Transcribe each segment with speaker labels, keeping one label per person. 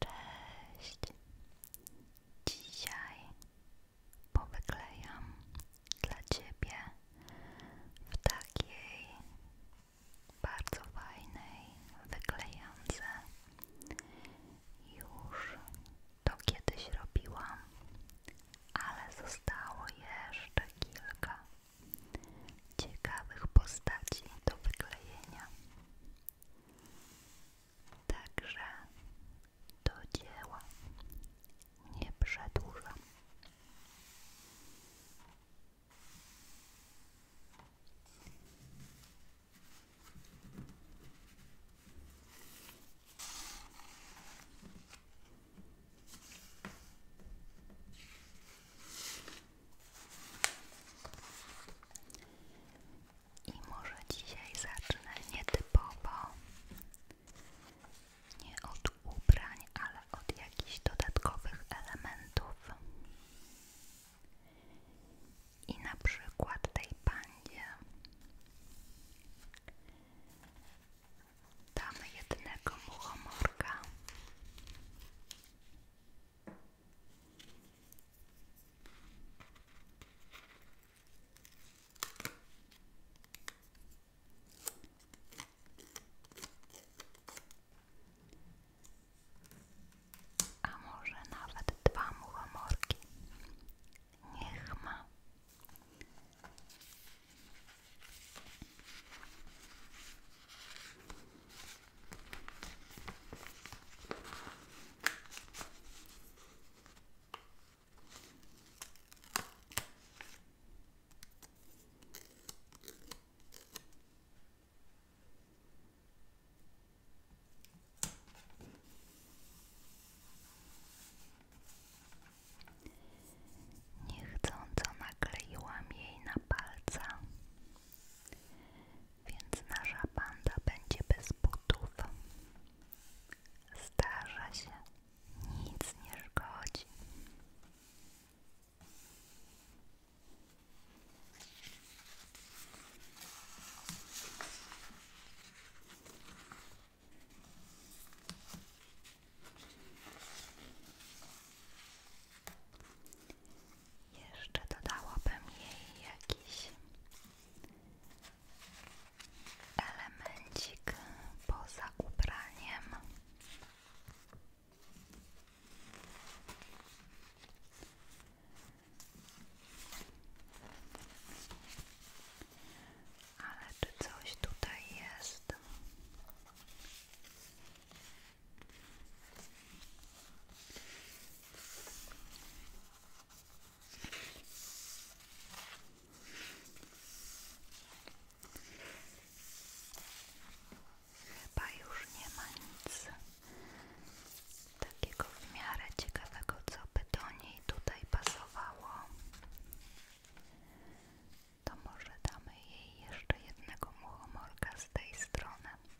Speaker 1: Cześć! Dzisiaj powyklejam dla Ciebie w takiej bardzo fajnej wyklejance. Już to kiedyś robiłam, ale zostało jeszcze kilka ciekawych postaci do wyklejenia. Także do dzieła nie przedłużam. I może dzisiaj zacznę nietypowo, nie od ubrań, ale od jakichś dodatkowych elementów. I na przykład tej pandzie damy jednego muchomorka. A może nawet dwa muchomorki. Niech ma. Niechcąco nakleiłam jej na palca więc nasza banda będzie bez butów. Zdarza się, nic nie szkodzi. Jeszcze dodałabym jej jakiś elemencik poza ubraniem. Ale czy coś tutaj jest? Chyba już nie ma nic takiego w miarę ciekawego, co by do niej tutaj pasowało. To może damy jej jeszcze jednego muchomorka z tej strony.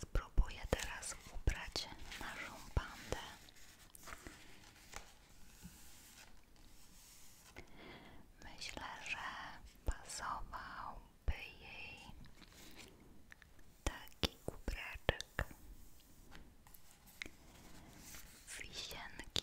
Speaker 1: Spróbuję teraz ubrać naszą bandę. Myślę, że pasowałby jej taki kubraczek wisienki.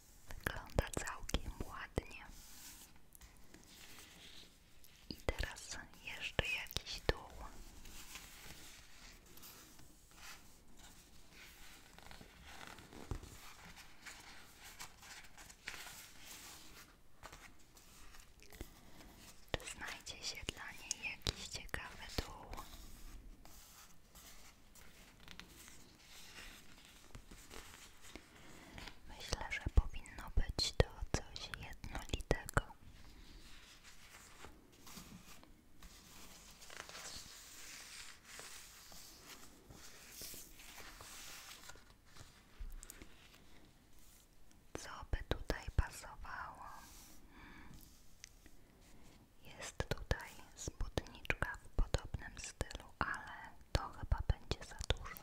Speaker 1: Wygląda całkiem ładnie. I teraz jeszcze jakiś dół. Czy znajdzie się dla niej jakiś ciekawy dół? Myślę, że powinno być to coś jednolitego. Co by tutaj pasowało? Hmm. Jest tutaj spódniczka w podobnym stylu, ale to chyba będzie za dużo.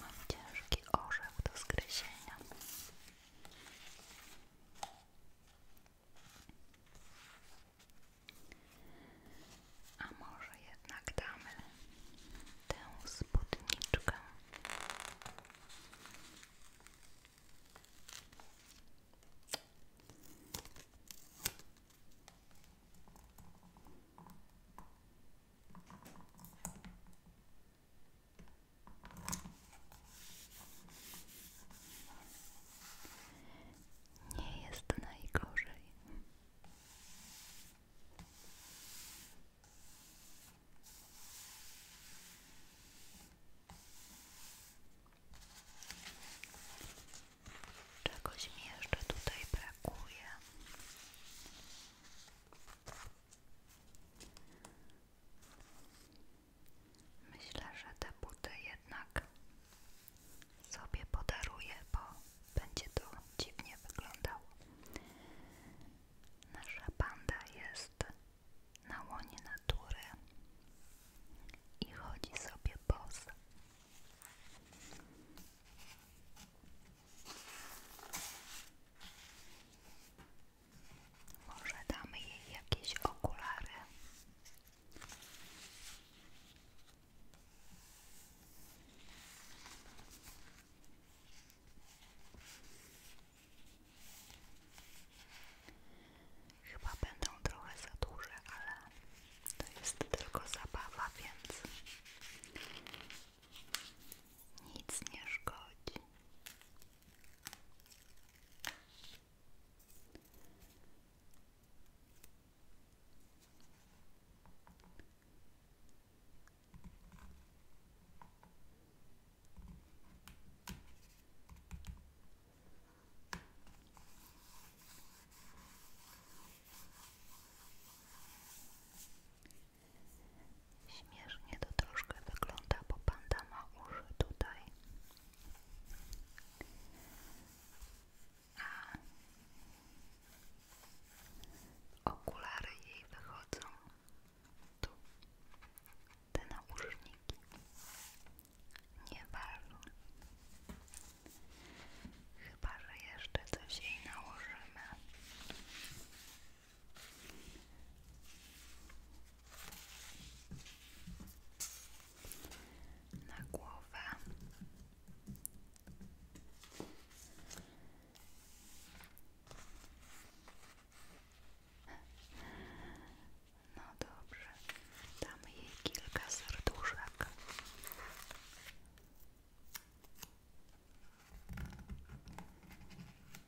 Speaker 1: Mam ciężki orzech do zgryzienia. A może jednak damy tę spódniczkę? Nie jest najgorzej. Czegoś mi jeszcze tutaj brakuje. Myślę, że te buty jednak sobie podaruję, bo będzie to dziwnie wyglądało. Nasza panda jest na łonie natury i chodzi sobie bosa. Może damy jej jakieś okulary. Chyba będą trochę za duże, ale to jest tylko zabawa, więc nic nie szkodzi. Śmiesznie to troszkę wygląda, bo panda ma uszy tutaj okulary jej wychodzą tu, te nauszniki nie ważą. Chyba, że jeszcze coś jej nałożymy na głowę no dobrze, damy jej kilka serduszek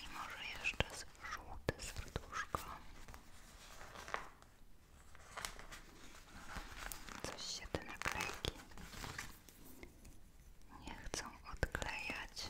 Speaker 1: I może jeszcze żółte serduszko. Coś się te naklejki nie chcą odklejać.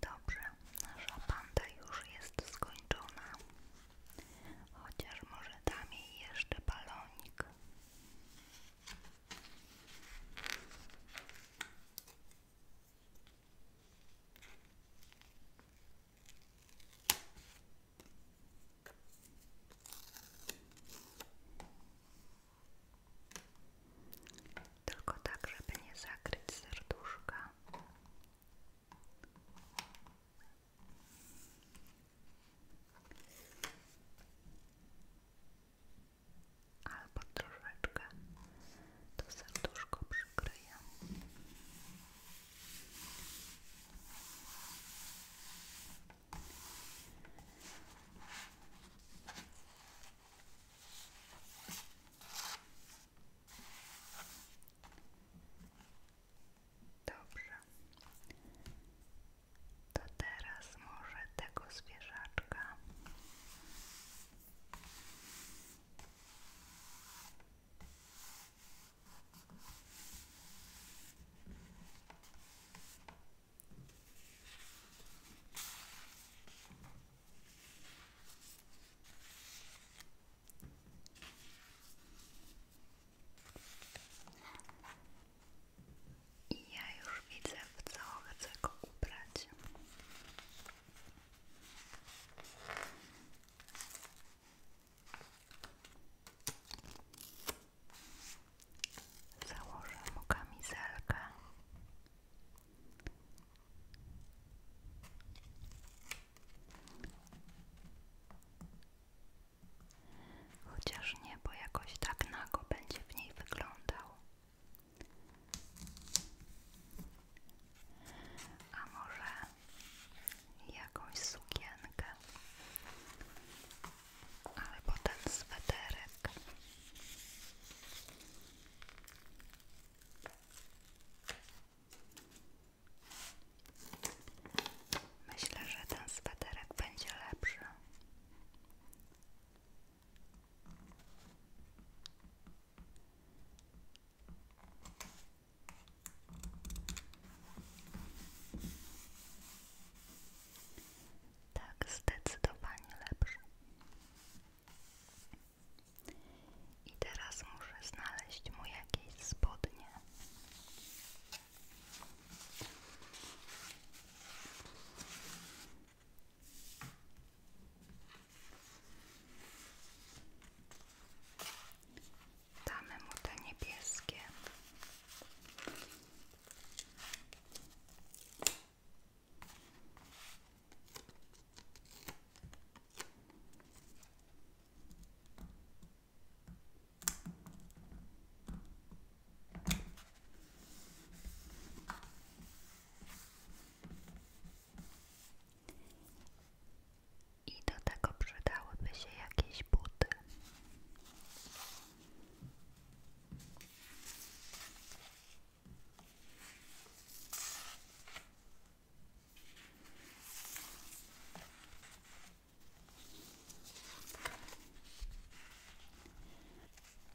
Speaker 1: Dobrze, nasza banda już jest skończona, chociaż może dam jej jeszcze balonik. Tylko tak, żeby nie zakryć serduszka albo troszeczkę to serduszko przykryję. Dobrze. To teraz może tego zwierzaczka. I ja już widzę, w co chcę ubrać. Założę mu kamizelkę. Chociaż nie, bo jakoś tak nago będzie w niej wyglądał. A może jakąś sukienkę albo ten sweterek. Myślę, że ten sweterek będzie lepszy. Tak, zdecydowanie lepszy. I teraz muszę znaleźć mu jakieś spodnie. Damy mu te niebieskie. I do tego przydałyby się jakieś buty.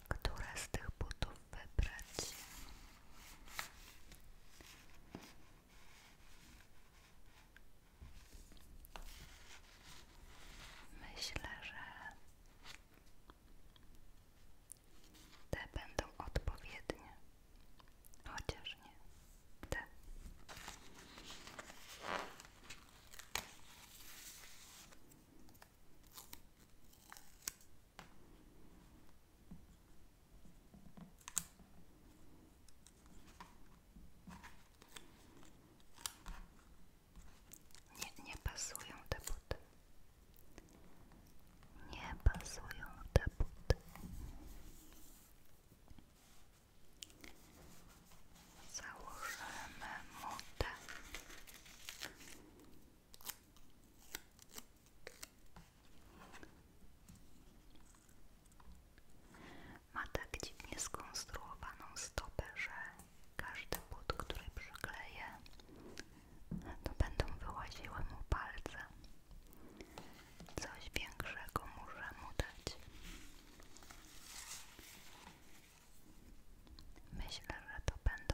Speaker 1: Które z tych butów wybrać. Myślę, że te będą odpowiednie, chociaż nie te. Nie, nie pasują te buty. Nie pasują te buty. Założymy mutę. Ma tak dziwnie skonstruowaną stopę, że każdy but, który przykleję, to będą wyłaziły mu palce. Coś większego muszę mu dać. Myślę, że to będą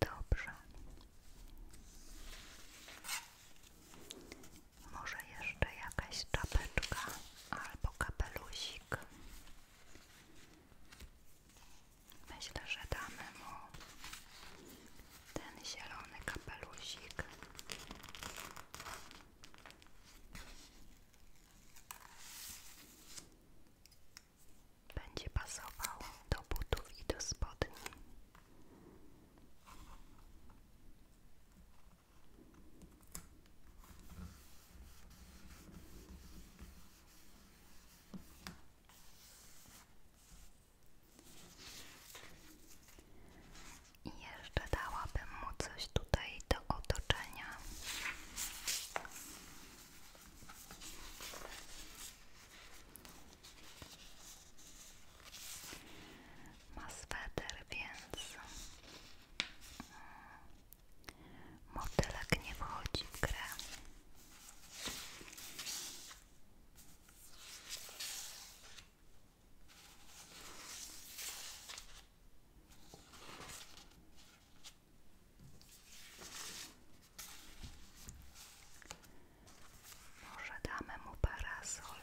Speaker 1: Dobrze. Może jeszcze jakaś czapeczka albo kapelusik. Myślę, że damy mu ten zielony kapelusik. Będzie pasował do butów i do spodni. I jeszcze dałabym mu coś tutaj do otoczenia. Ma sweter, Motylek nie wchodzi w grę. Może damy mu parasol.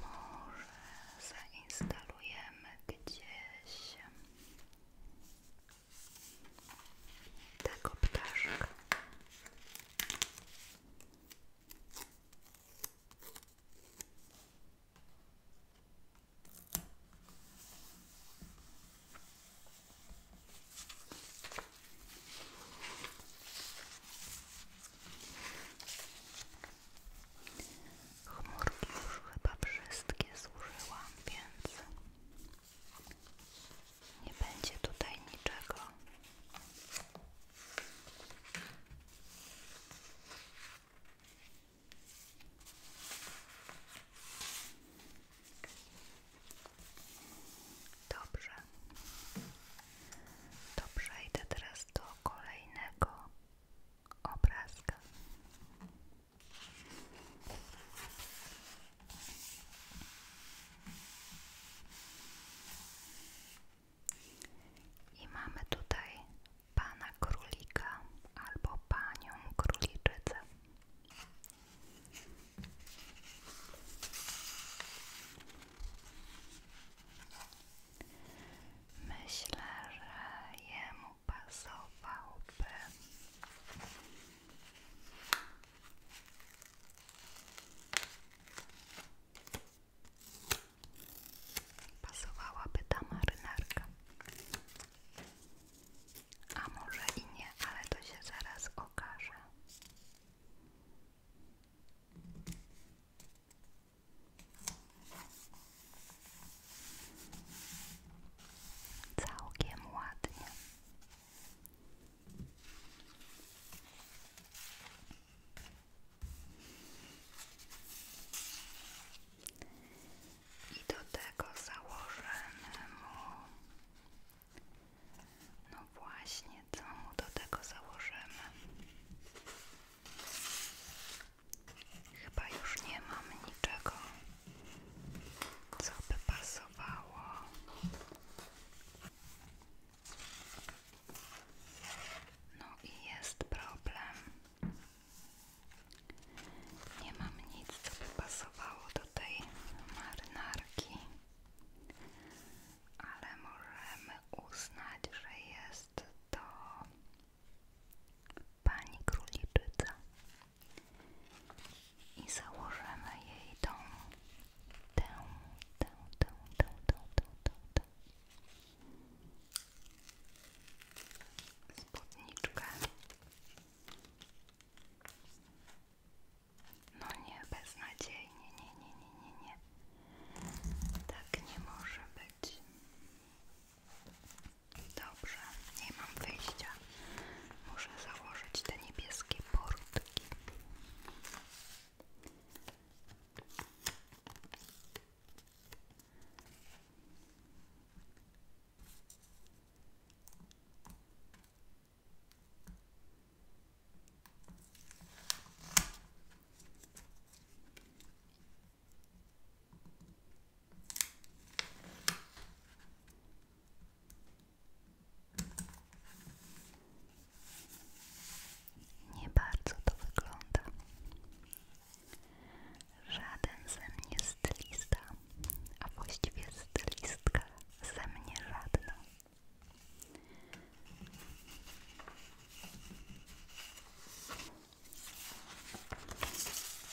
Speaker 1: Może zainstalujemy gdzieś tego ptaszka. Chmurki już chyba wszystkie zużyłam, więc nie będzie tutaj niczego. Dobrze. To przejdę teraz do kolejnego obrazka. I mamy tutaj pana królika albo panią króliczycę. Myślę, że jemu pasowałby pasowałaby ta marynarka. A może i nie, ale to się zaraz okaże. Całkiem ładnie. I do tego założymy mu no właśnie co mu do tego założymy? Chyba już nie mam niczego, co by pasowało. No i jest problem. Nie mam nic, co by pasowało do tej marynarki ale możemy uznać, że jest to pani króliczyca i założymy jej tą tę, tę, tę, tę, tę, tę, tę, tę. spódniczkę no nie, beznadziejnie, nie, nie, nie, nie, nie tak nie może być. Dobrze, nie mam wyjścia. Muszę założyć te niebieskie portki. Nie bardzo to wygląda. Żaden ze mnie stylista, a właściwie stylistka ze mnie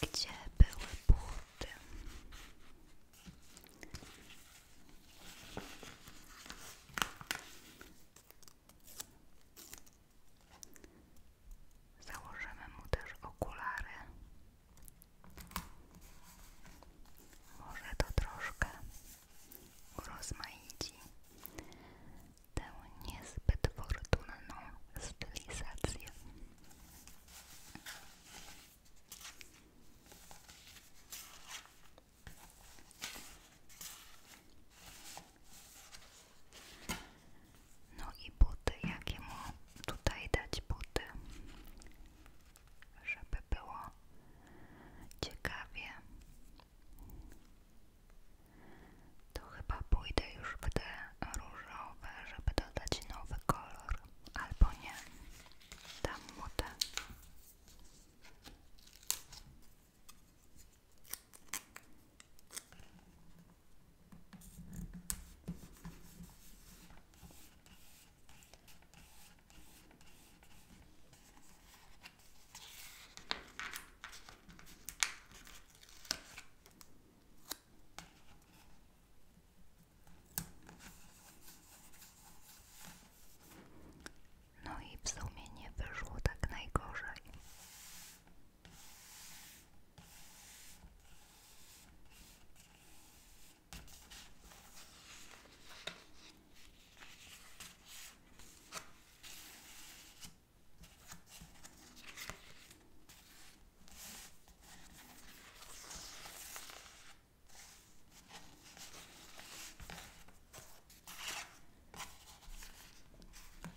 Speaker 1: gdzie były buty? Założymy mu też okulary. Może to troszkę urozmaici tę niezbyt fortunną stylizację. No i buty, jakie mu tutaj dać buty, żeby było ciekawie to chyba pójdę już w te różowe, żeby dodać nowy kolor, albo nie. Dam mu no i w sumie nie wyszło tak najgorzej.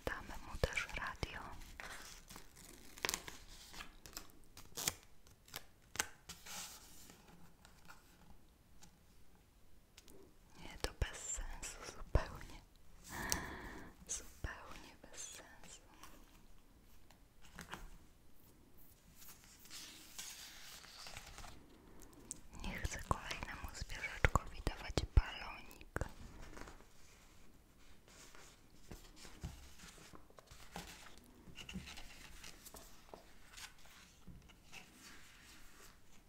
Speaker 1: Damy mu też radio. Nie, to bez sensu, zupełnie. Zupełnie bez sensu. Nie chcę kolejnemu zwierzaczkowi dawać balonik.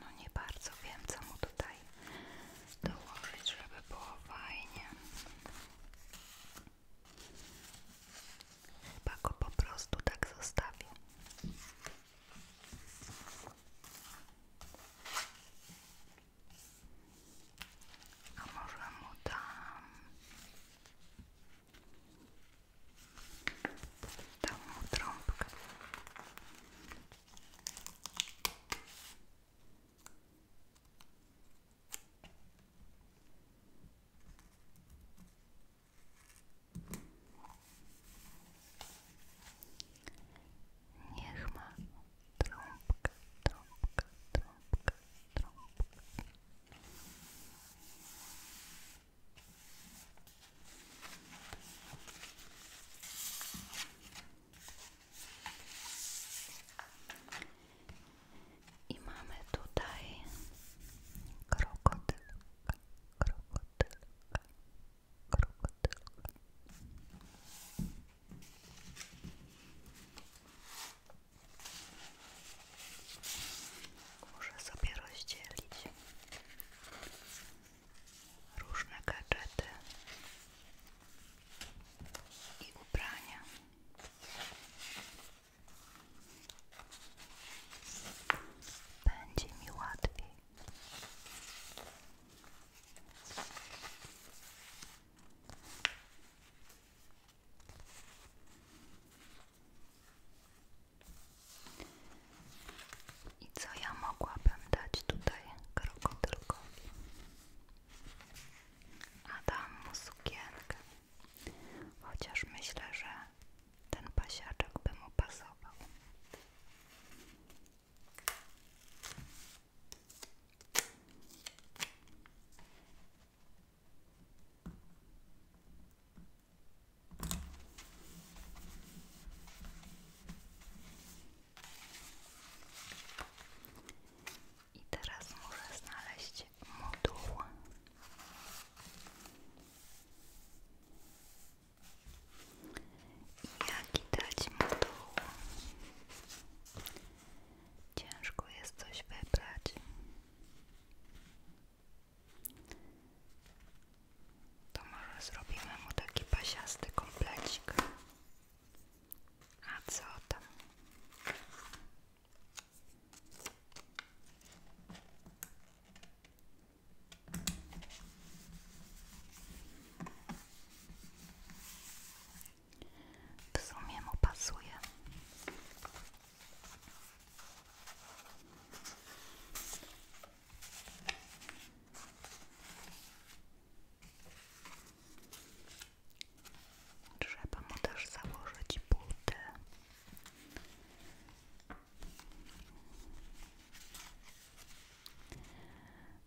Speaker 1: No nie bardzo wiem, co mu tutaj dołożyć, żeby było fajnie. Chyba go po prostu tak zostawię. A może mu dam Dam mu Niech ma trąbkę, trąbkę, trąbkę, trąbkę. I mamy tutaj krokodylka, krokodylka, krokodylka. Muszę sobie rozdzielić różne gadżety i ubrania. Będzie mi łatwiej. I co ja mogłabym dać tutaj krokodylkowi? Adamu sukienkę. Chociaż myślę, że ten pasiaczek by mu pasował. I teraz muszę znaleźć moduł. Jak jaki dać moduł? Ciężko jest coś wybrać. To może zrobimy mu taki pasiasty komplecik. A co tam? W sumie mu pasuje. Trzeba mu też założyć buty.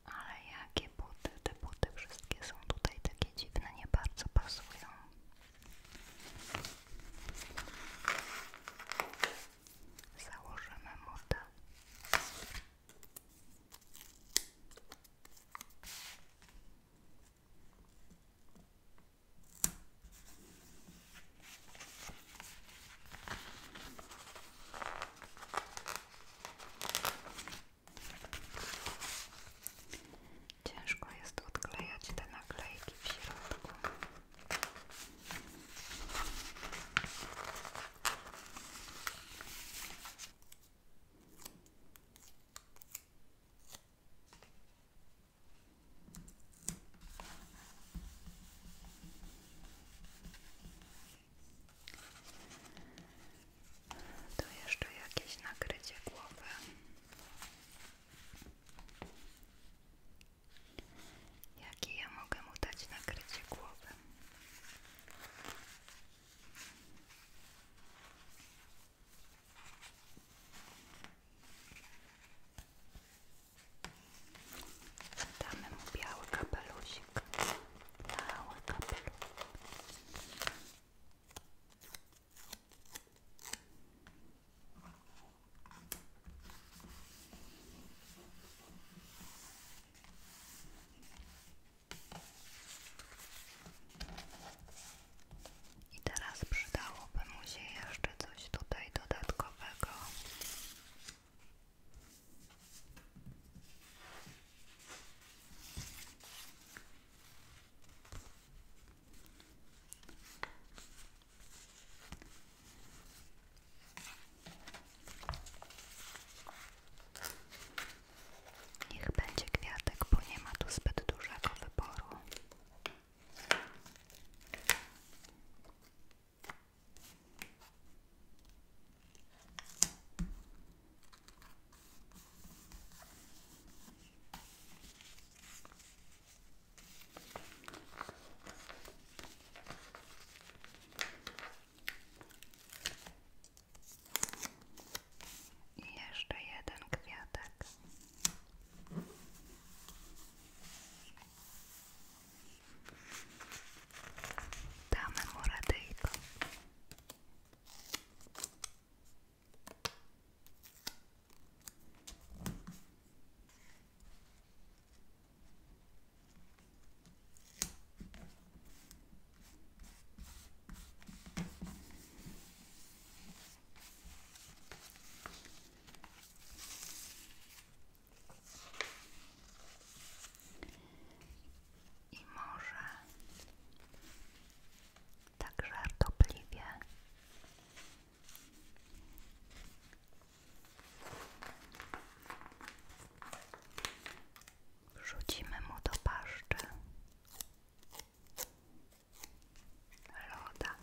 Speaker 1: Ale jakie buty? Te buty wszystkie są tutaj takie dziwne, nie bardzo pasują założymy mu te Ciężko jest odklejać te naklejki w środku. To jeszcze jakieś nakrycie głowy. Jakie ja mogę mu dać nakrycie głowy? Zadamy mu biały kapelusik. Biały i teraz przydałoby mu się jeszcze coś tutaj dodatkowego. Niech będzie kwiatek, bo nie ma tu zbyt dużego wyboru. I jeszcze jeden kwiatek. Damy mu i może także żartobliwie Rzucimy mu do paszczy loda.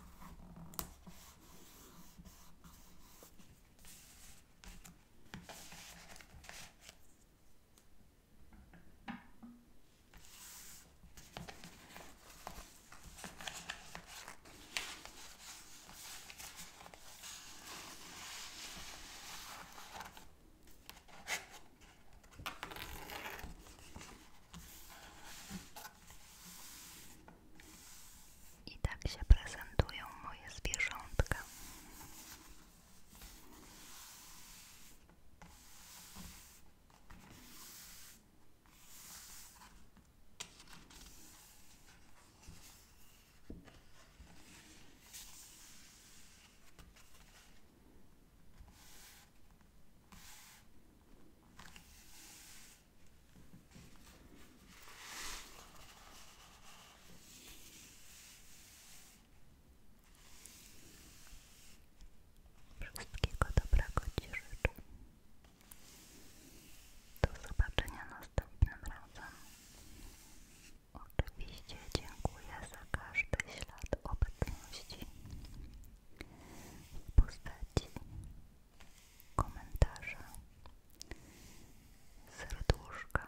Speaker 1: I tak się prezentują moje zwierzątka. Wszystkiego dobrego Ci życzę do zobaczenia następnym razem. Oczywiście dziękuję za każdy ślad obecności w postaci komentarza, serduszka,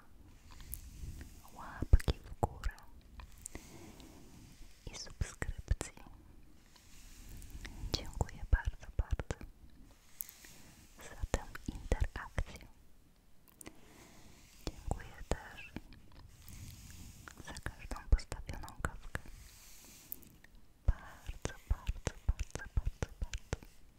Speaker 1: łapki w górę i subskrypcji. Dziękuję bardzo, bardzo za tę interakcję. Dziękuję też za każdą postawioną kawkę. Bardzo, bardzo, bardzo, bardzo, bardzo.